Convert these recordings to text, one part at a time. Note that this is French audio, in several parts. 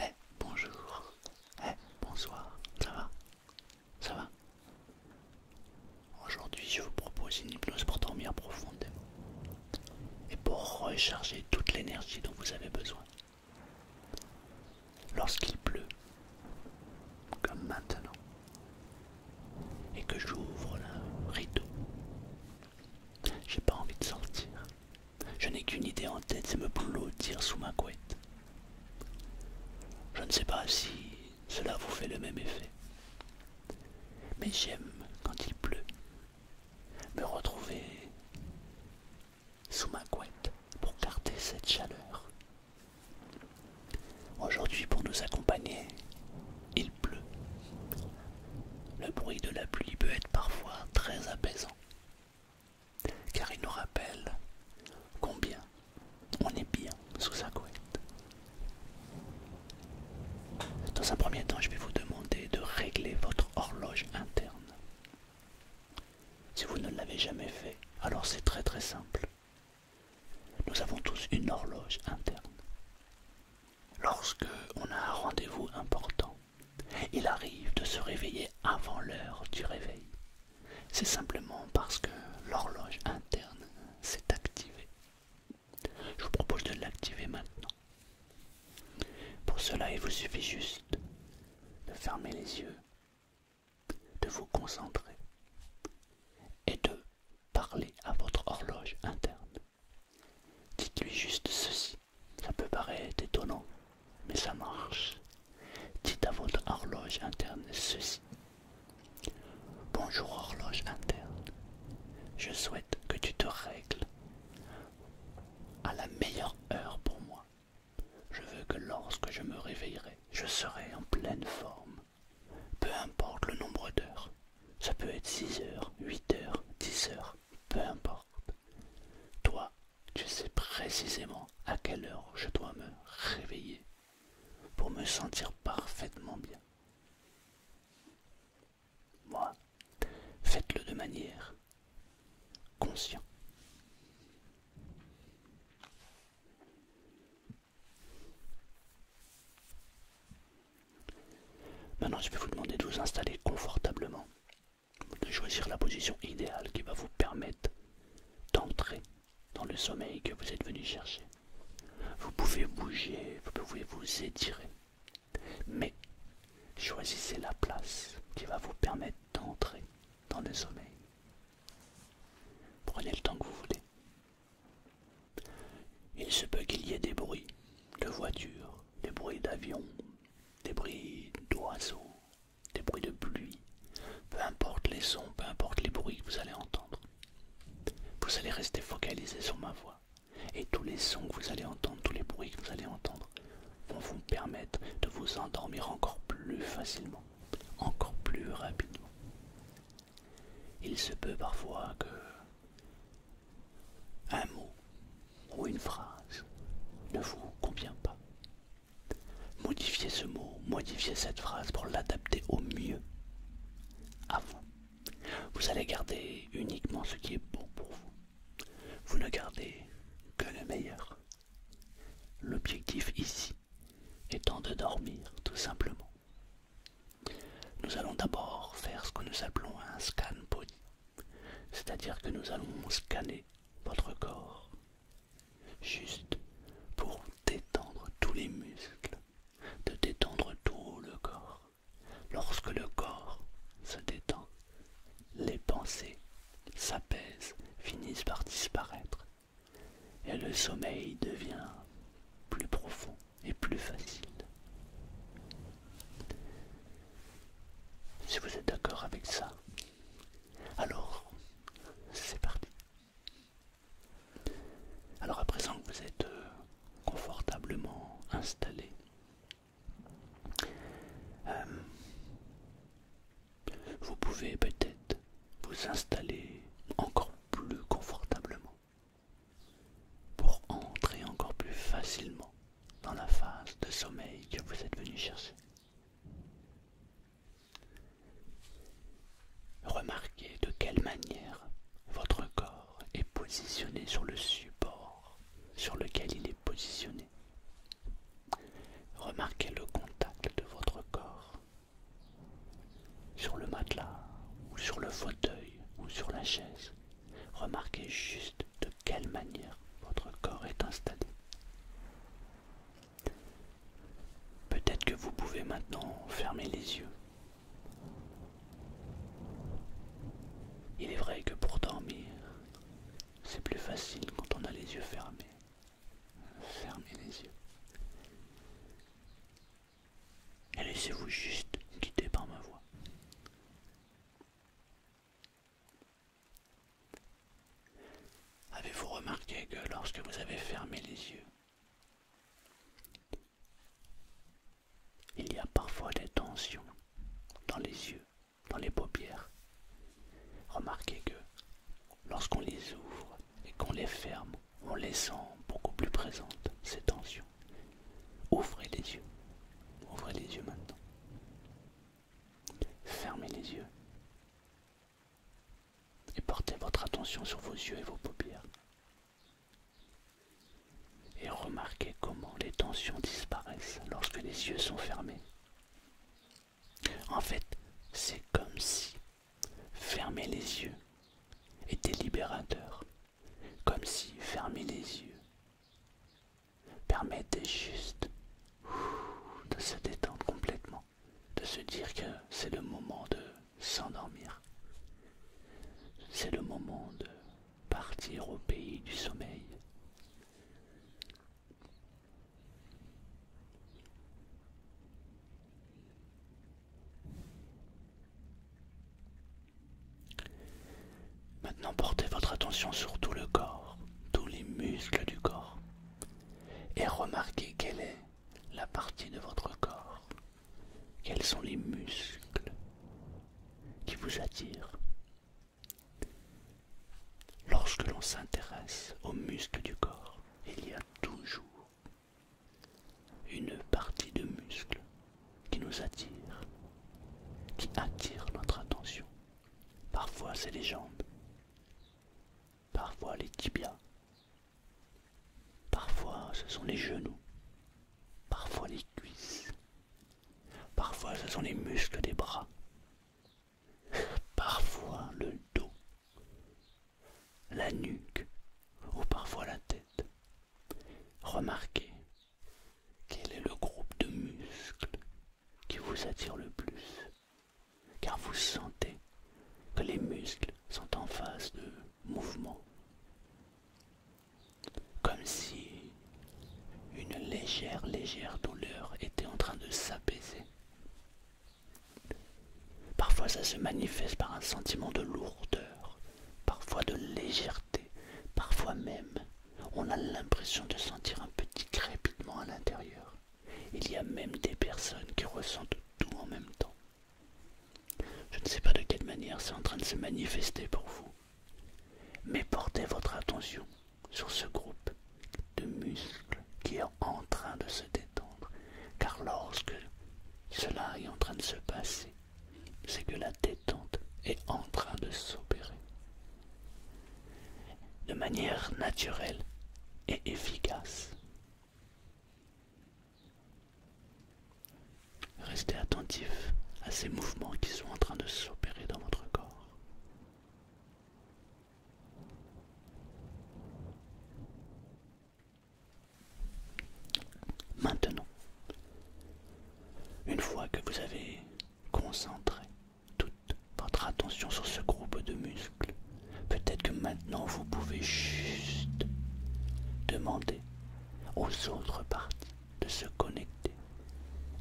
Eh bonjour, eh bonsoir, ça va Ça va Aujourd'hui je vous propose une hypnose pour dormir profondément et pour recharger toute l'énergie dont vous avez besoin. Lorsqu'il pleut, comme maintenant, et que j'ouvre le rideau. J'ai pas envie de sortir. Je n'ai qu'une idée en tête, c'est me blottir sous ma couette. Je ne sais pas si cela vous fait le même effet. Mais j'aime, quand il pleut, me retrouver sous ma couette pour garder cette chaleur Aujourd'hui pour nous accompagner, il pleut. Le bruit de la pluie peut être parfois très apaisant, car il nous rappelle combien on est bien sous sa couette. Dans un premier temps, je vais vous demander de régler votre horloge interne. Si vous ne l'avez jamais fait, alors c'est très très simple. Nous avons tous une horloge interne. Lorsque on a un rendez-vous important, il arrive de se réveiller avant l'heure du réveil. C'est simplement parce que l'horloge interne s'est activée. Je vous propose de l'activer maintenant. Pour cela, il vous suffit juste de fermer les yeux de vous concentrer et de parler à votre horloge interne. Dites-lui juste ceci. Ça peut paraître étonnant, mais ça marche. Dites à votre horloge interne ceci. Bonjour horloge interne. Je souhaite que tu te règles à la meilleure heure pour moi. Je veux que lorsque je me réveillerai, je serai en pleine forme peu importe le nombre d'heures. Ça peut être 6 heures, 8 heures, 10 heures, peu importe. Toi, tu sais précisément à quelle heure je dois me réveiller pour me sentir parfaitement bien. Moi, faites-le de manière consciente. Maintenant, je vais vous demander de vous installer confortablement, de choisir la position idéale qui va vous permettre d'entrer dans le sommeil que vous êtes venu chercher. Vous pouvez bouger, vous pouvez vous étirer, mais choisissez la place qui va vous permettre d'entrer dans le sommeil. Prenez le temps que vous voulez. Il se peut qu'il y ait des bruits de voitures, des bruits d'avions, des bruits d'oiseaux, des bruits de pluie, peu importe les sons, peu importe les bruits que vous allez entendre. Vous allez rester focalisé sur ma voix et tous les sons que vous allez entendre, tous les bruits que vous allez entendre vont vous permettre de vous endormir encore plus facilement, encore plus rapidement. Il se peut parfois que un mot ou une phrase ne vous convient pas. Modifiez ce mot, modifiez cette phrase pour l'adapter au mieux à vous. Vous allez garder uniquement ce qui est bon pour vous. Vous ne gardez que le meilleur. L'objectif ici étant de dormir tout simplement. Nous allons d'abord faire ce que nous appelons un scan body, c'est-à-dire que nous allons scanner votre corps, juste pour détendre tous les muscles, de détendre tout le corps. Lorsque le corps se détend, les pensées s'apaisent, finissent par disparaître et le sommeil devient plus profond et plus facile. Si vous êtes d'accord avec ça, alors c'est parti. Alors à présent que vous êtes euh, confortablement installé, euh, vous pouvez peut-être vous installer encore plus confortablement pour entrer encore plus facilement dans la phase de sommeil que vous êtes venu chercher. Remarquez de quelle manière votre corps est positionné sur le support sur lequel il est positionné. Remarquez le contact de votre corps sur le matelas, ou sur le fauteuil, ou sur la chaise, remarquez juste de quelle manière votre corps est installé. Peut-être que vous pouvez maintenant fermer les yeux. Il est vrai que pour dormir, c'est plus facile quand on a les yeux fermés. Fermez les yeux et laissez-vous juste quitter par ma voix. Avez-vous remarqué que lorsque vous avez fermé les yeux, il y a parfois des tensions dans les yeux, dans les paupières Remarquez que lorsqu'on les ouvre et qu'on les ferme, en laissant beaucoup plus présentes ces tensions. Ouvrez les yeux. Ouvrez les yeux maintenant. Fermez les yeux. Et portez votre attention sur vos yeux et vos paupières. Et remarquez comment les tensions disparaissent lorsque les yeux sont fermés. En fait, c'est comme si Fermez les yeux est libérateur, comme si fermer les yeux permettait juste de se détendre complètement, de se dire que c'est le moment de s'endormir, c'est le moment de partir au pays du sommeil. Maintenant portez votre attention sur tout le corps, tous les muscles du corps, et remarquez quelle est la partie de votre corps, quels sont les muscles qui vous attirent. Lorsque l'on s'intéresse aux muscles du corps, il y a toujours une partie de muscles qui nous attire, qui attire notre attention. Parfois c'est les jambes, parfois les tibias, parfois ce sont les genoux, parfois les cuisses, parfois ce sont les muscles des bras, parfois le dos, la nuque ou parfois la tête. Remarquez quel est le groupe de muscles qui vous attire le plus, car vous sentez que les muscles sont en phase de mouvement, comme si une légère, légère douleur était en train de s'apaiser. Parfois ça se manifeste par un sentiment de lourdeur, parfois de légèreté, parfois même on a l'impression de sentir un petit crépitement à l'intérieur. Il y a même des personnes qui ressentent tout en même temps. Je ne sais pas de quelle manière c'est en train de se manifester pour vous, mais portez votre attention sur ce groupe de muscles qui est en train de se détendre car lorsque cela est en train de se passer, c'est que la détente est en train de s'opérer. De manière naturelle et efficace. Restez attentif à ces mouvements qui sont en train de s'opérer dans votre corps. Maintenant, une fois que vous avez concentré toute votre attention sur ce groupe de muscles, peut-être que maintenant vous pouvez juste demander aux autres parties de se connecter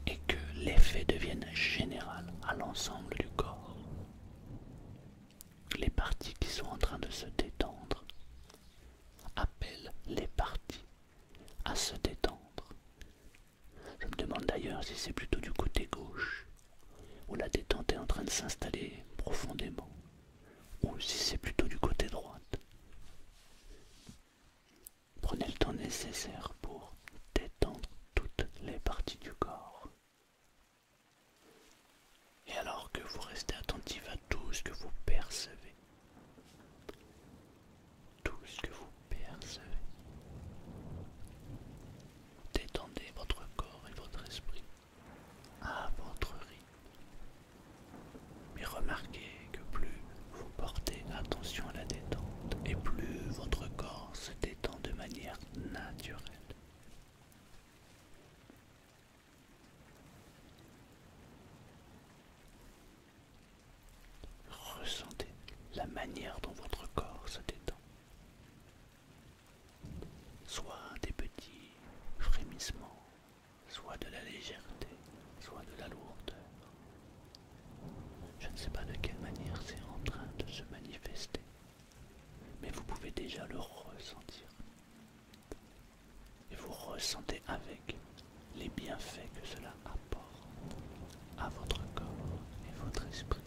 et que l'effet devienne général à l'ensemble du corps les parties qui sont en train de se détendre appellent les parties à se détendre. Je me demande d'ailleurs si c'est plutôt du côté gauche, où la détente est en train de s'installer profondément, ou si c'est plutôt du côté droite. Prenez le temps nécessaire pour détendre toutes les parties du corps. Et alors que vous restez attentif à tout ce que vous percevez, tout ce que vous percevez, détendez votre corps et votre esprit à votre rythme. Mais remarquez que plus vous portez attention à la détente et plus votre corps se détend de manière naturelle. Ressentez la manière dont votre corps se détend. Soit des petits frémissements, soit de la légèreté, soit de la lourdeur. Je ne sais pas de quelle manière c'est en train de se manifester, mais vous pouvez déjà le ressentir et vous ressentez avec les bienfaits que cela apporte à votre corps et votre esprit.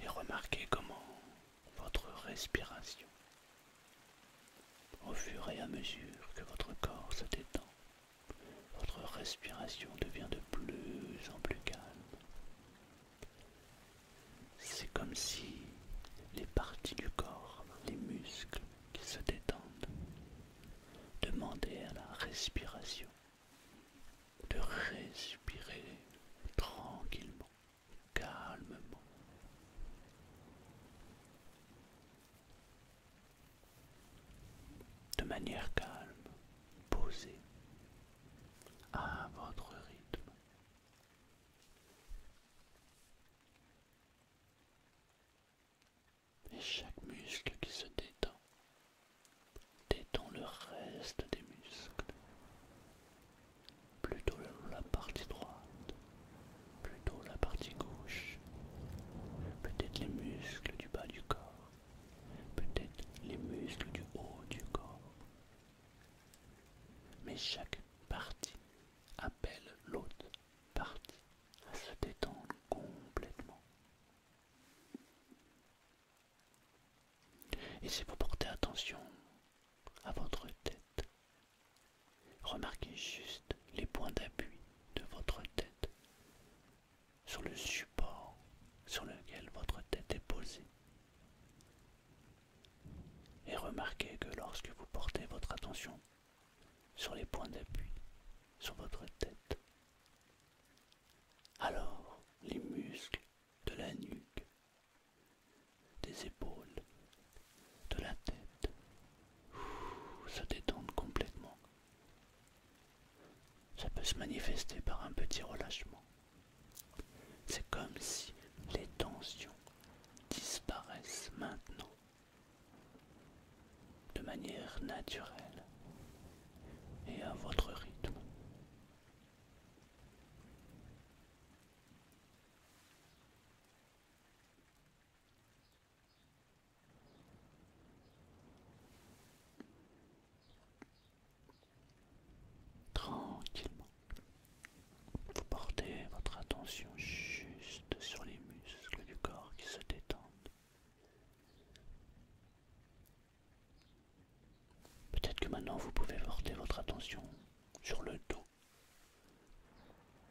Et remarquez comment votre respiration, au fur et à mesure que votre corps se détend, votre respiration devient de plus en plus calme. C'est comme si les parties du corps, les muscles qui se détendent, demandaient à la respiration de respirer tranquillement, calmement de manière calme, posée, à votre rythme. Et chaque muscle qui se détend détend le reste des muscles, plutôt la partie droite, plutôt la partie gauche, peut-être les muscles du bas du corps peut-être les muscles du haut du corps. Mais chaque partie appelle l'autre partie à se détendre complètement. Et si vous portez attention à votre tête, remarquez juste les points d'appui de votre tête sur le support sur lequel votre tête est posée. Et remarquez que lorsque vous portez votre attention sur les points d'appui, sur votre tête, alors les muscles de la nuque, des épaules, de la tête se détendent complètement ça peut se manifester par un petit relâchement. C'est comme si les tensions disparaissent maintenant de manière naturelle et à votre rythme. Tranquillement. Vous portez votre attention juste sur les muscles du corps qui se détendent. Peut-être que maintenant vous pouvez porter votre attention sur le dos,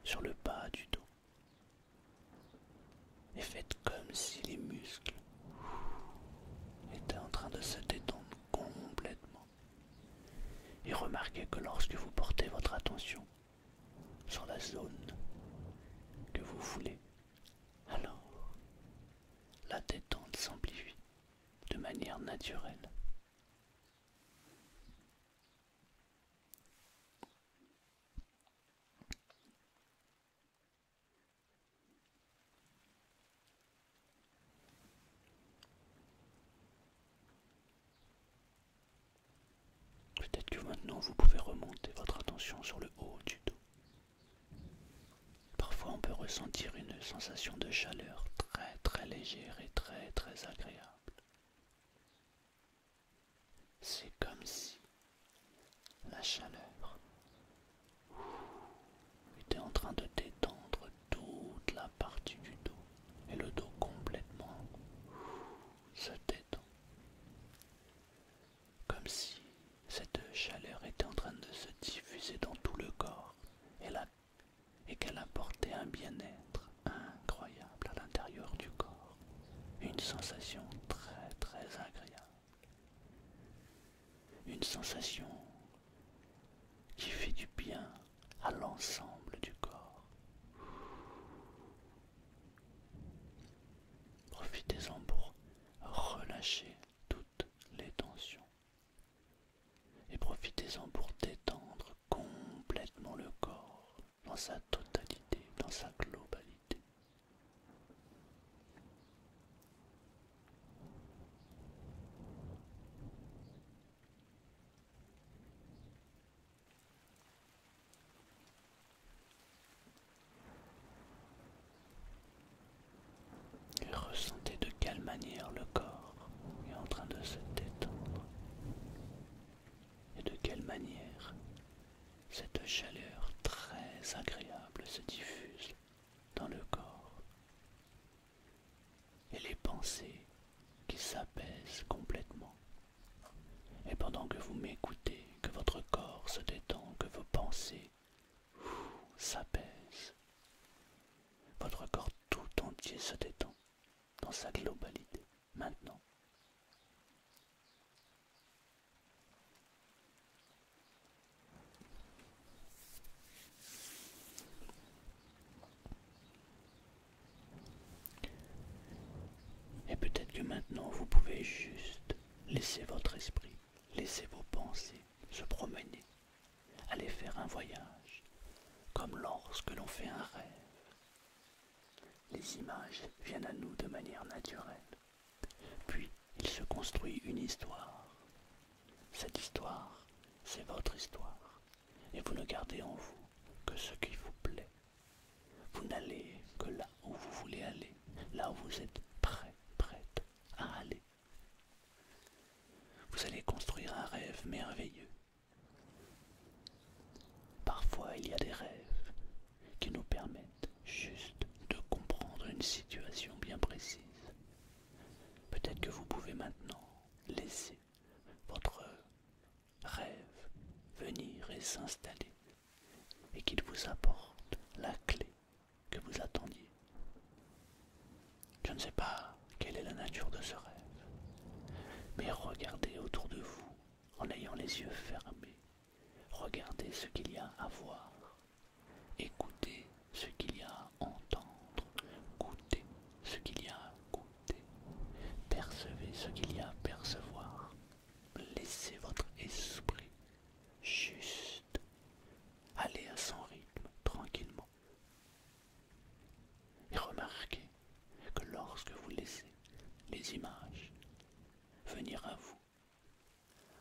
sur le bas du dos et faites comme si les muscles étaient en train de se détendre complètement. Et remarquez que lorsque vous portez votre attention sur la zone que vous voulez, alors la détente s'amplifie de manière naturelle. Peut-être que maintenant vous pouvez remonter votre attention sur le haut du dos. Parfois on peut ressentir une sensation de chaleur très très légère et très très agréable. C'est comme si la chaleur était en train de détendre toute la partie du dos et le dos complètement se détend. Comme si cette chaleur était en train de se diffuser dans tout le corps et, qu'elle apportait un bien-être incroyable à l'intérieur du corps, une sensation très très agréable. Une sensation qui fait du bien à l'ensemble du corps. Profitez-en pour relâcher toutes les tensions. Et profitez-en pour détendre complètement le corps dans sa totalité, dans sa globalité. Et ressentez de quelle manière le corps est en train de se détendre et de quelle manière cette chaleur très agréable se diffuse dans le corps et les pensées qui s'apaisent complètement. Et pendant que vous m'écoutez, que votre corps se détend, que vos pensées s'apaisent, votre corps tout entier se détend dans sa globalité maintenant. Et peut-être que maintenant vous pouvez juste laisser votre esprit, laisser vos pensées se promener, aller faire un voyage, comme lorsque l'on fait un rêve. Les images viennent à nous de manière naturelle. Puis il se construit une histoire. Cette histoire, c'est votre histoire, et vous ne gardez en vous que ce qui vous plaît. Vous n'allez que là où vous voulez aller, là où vous êtes prêt, prête à aller. Vous allez construire un rêve merveilleux. Parfois, il y a des rêves qui nous permettent juste de comprendre une situation bien précise. Peut-être que vous pouvez maintenant laisser votre rêve venir et s'installer et qu'il vous apporte la clé que vous attendiez. Je ne sais pas quelle est la nature de ce rêve, mais regardez autour de vous en ayant les yeux fermés. Regardez ce qu'il y a à voir Écoutez ce qu'il y a à entendre, goûtez ce qu'il y a à goûter, percevez ce qu'il y a à percevoir. Laissez votre esprit juste aller à son rythme tranquillement. Et remarquez que lorsque vous laissez les images venir à vous,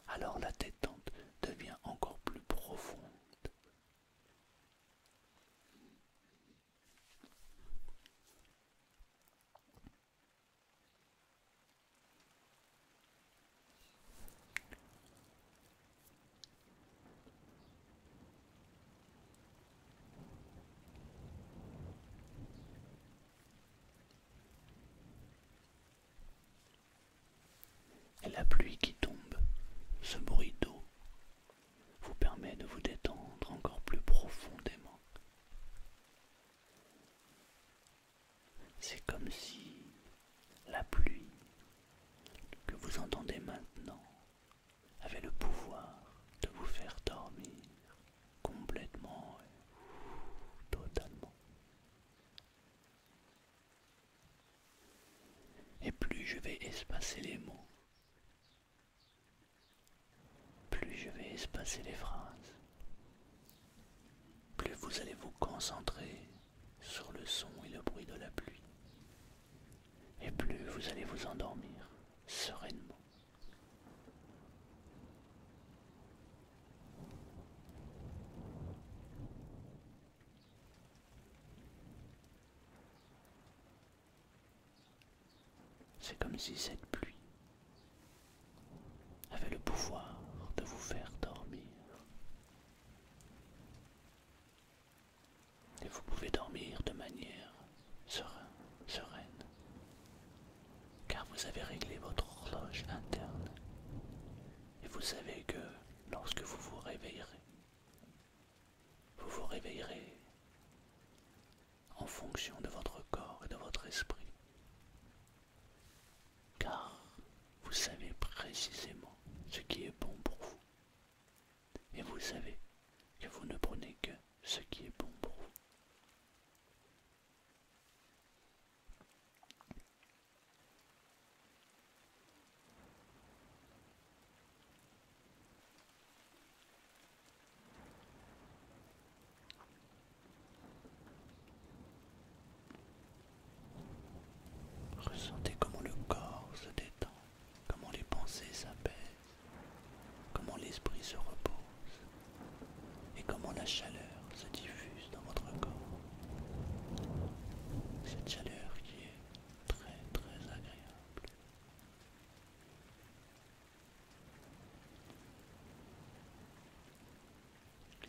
alors la tête détente devient encore plus profonde. La pluie qui tombe, ce bruit d'eau, vous permet de vous détendre encore plus profondément. C'est comme si la pluie que vous entendez maintenant avait le pouvoir de vous faire dormir complètement et totalement. Et plus je vais espacer les mots, plus je vais espacer les phrases, plus vous allez vous concentrer sur le son et le bruit de la pluie, et plus vous allez vous endormir sereinement. C'est comme si cette pluie avait le pouvoir de vous faire dormir. Et vous pouvez dormir de manière sereine, sereine car vous avez réglé votre horloge interne. Et vous savez que lorsque vous vous réveillerez. Vous vous réveillerez en fonction de votre corps et de votre esprit, car vous savez précisément ce qui est bon pour vous, et vous savez que vous ne prenez que ce qui est bon pour vous. Ressentez comment le corps se détend, comment les pensées s'apaisent, comment l'esprit se repose et comment la chaleur se diffuse votre corps. Cette chaleur qui est très très agréable.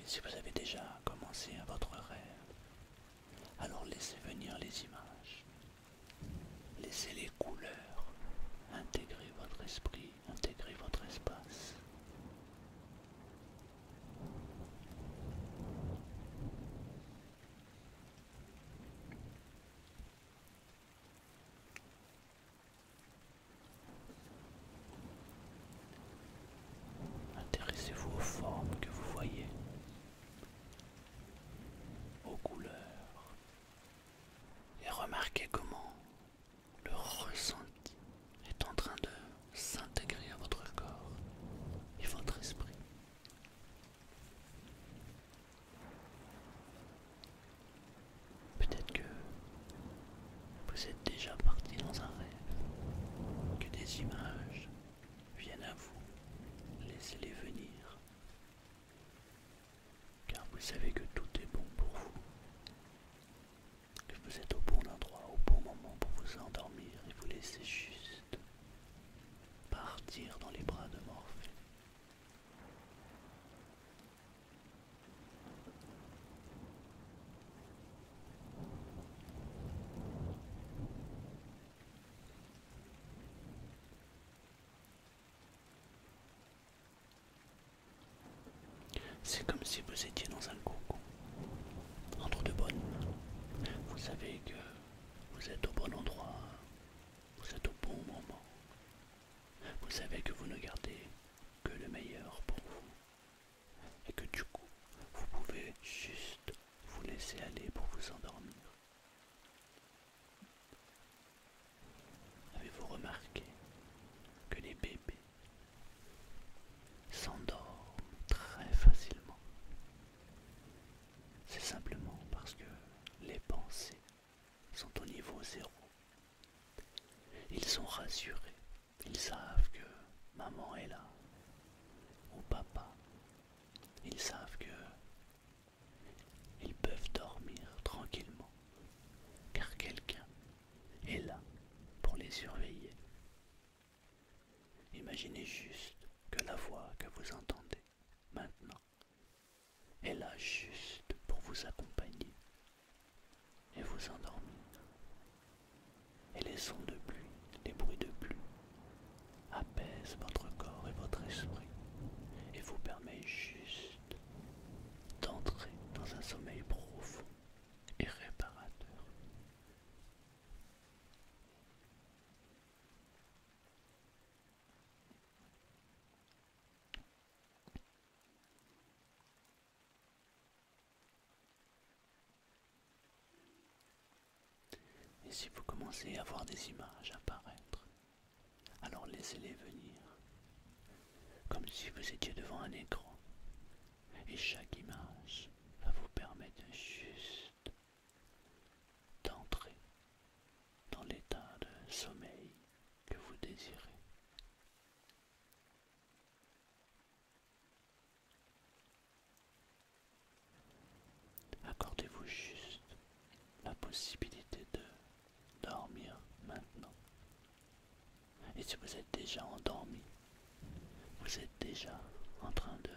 si vous avez déjà commencé à votre rêve, alors laissez venir les images. Laissez les couleurs intégrer votre esprit, intégrer votre espace. Intéressez-vous aux formes que vous voyez, aux couleurs, et remarquez comment le ressenti est en train de s'intégrer à votre corps et votre esprit. Peut-être que vous êtes déjà parti dans un rêve, que des images viennent à vous, laissez-les venir, car vous savez que tout est bon pour vous, que vous êtes au bon endroit, au bon moment pour vous endormir et vous laissez juste partir dans les bras de Morphée. C'est comme si vous étiez dans un cocon entre deux bonnes. Vous savez que vous êtes au bon endroit, vous êtes au bon moment. Vous savez que vous ne gardez que le meilleur pour vous. Et que du coup, vous pouvez juste vous laisser aller pour vous endormir. Avez-vous remarqué que les bébés s'endorment très facilement. C'est simplement parce que les pensées sont au niveau zéro. Ils sont rassurés, ils savent que maman est là, ou papa. Ils savent que ils peuvent dormir tranquillement, car quelqu'un est là pour les surveiller. Imaginez juste que la voix que vous entendez maintenant est là juste pour vous accompagner et vous endormir. Et les sons de pluie, les bruits de pluie apaisent votre corps et votre esprit et vous permettent juste d'entrer dans un sommeil profond et réparateur. Et si vous commencez à voir des images apparaître, alors laissez-les venir, comme si vous étiez devant un écran. Et chaque image va vous permettre juste d'entrer dans l'état de sommeil que vous désirez. Accordez-vous juste la possibilité de dormir maintenant. Et si vous êtes déjà endormi, vous êtes déjà en train de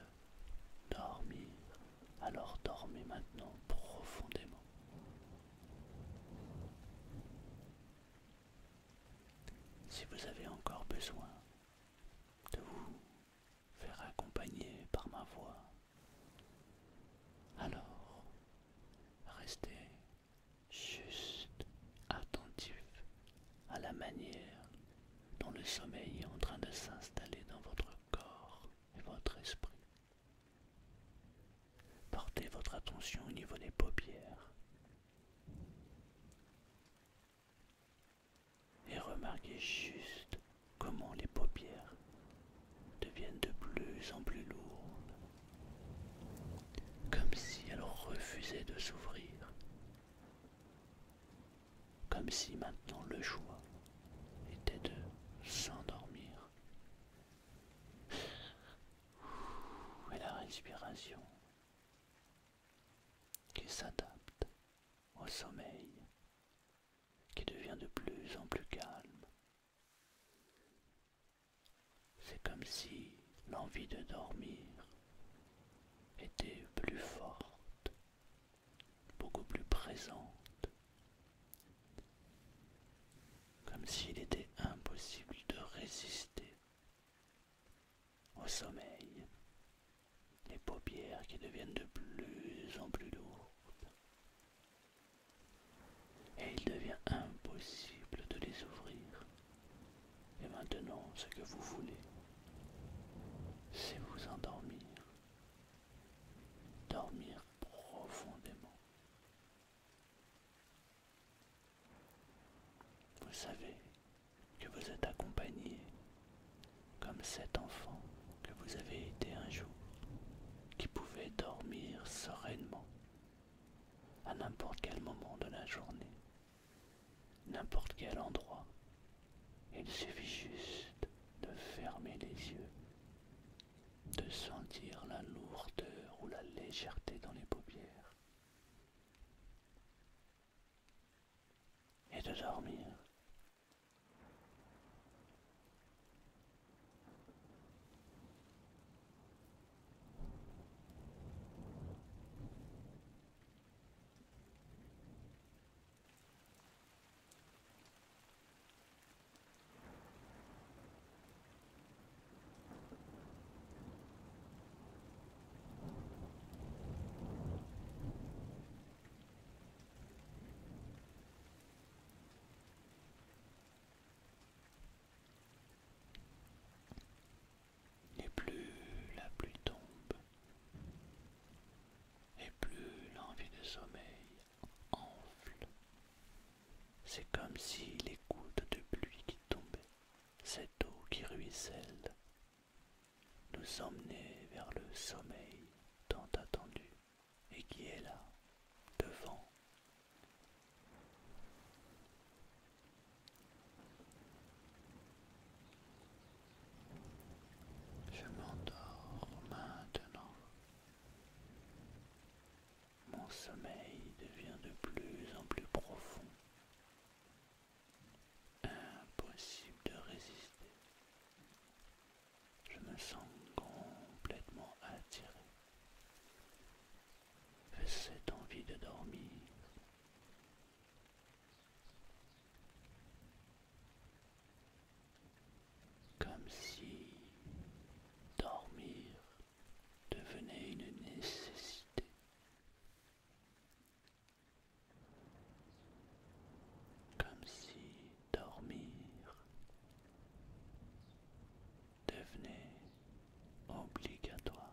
dormir. Alors dormez maintenant profondément. Si vous avez encore besoin de vous faire accompagner par ma voix, alors restez juste attentif à la manière dont le sommeil est en train de s'installer dans votre corps et votre esprit. Portez votre attention au niveau des paupières et remarquez juste comment les paupières deviennent de plus en plus lourdes, comme si elles refusaient de s'ouvrir comme si maintenant le choix était de s'endormir. Et la respiration qui s'adapte au sommeil, qui devient de plus en plus calme. C'est comme si l'envie de dormir était plus forte beaucoup plus présente, comme s'il était impossible de résister au sommeil, les paupières qui deviennent de plus en plus lourdes, et il devient impossible de les ouvrir. Et maintenant, ce que vous voulez, c'est vous endormir, dormir profondément. Vous savez que vous êtes accompagné comme cet enfant que vous avez été un jour, qui pouvait dormir sereinement à n'importe quel moment de la journée n'importe quel endroit. Il suffit juste de fermer les yeux, de sentir la lourdeur ou la légèreté dans les paupières, et de dormir n'est plus la pluie tombe, et plus l'envie de sommeil enfle. C'est comme si les gouttes de pluie qui tombaient, cette eau qui ruisselle, nous emmenaient vers le sommeil tant attendu et qui est là, devant. Je m'endors maintenant. Mon sommeil devient de plus en plus profond. Impossible de résister. Je me sens complètement attiré cette envie de dormir comme si dormir devenait une nécessité. Comme si dormir devenait obligatoire.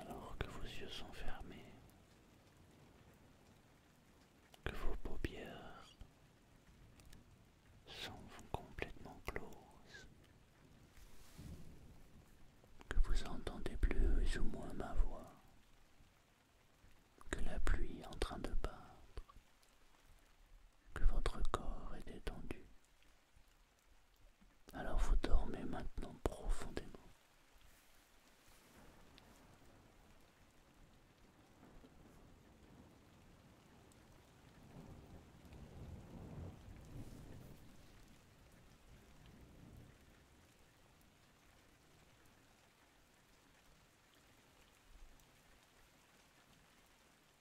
alors que vos yeux sont fermés, que vos paupières sont complètement closes, que vous entendez plus ou moins ma voix, que la pluie est en train de battre, que votre corps est détendu. Alors vous dormez maintenant profondément.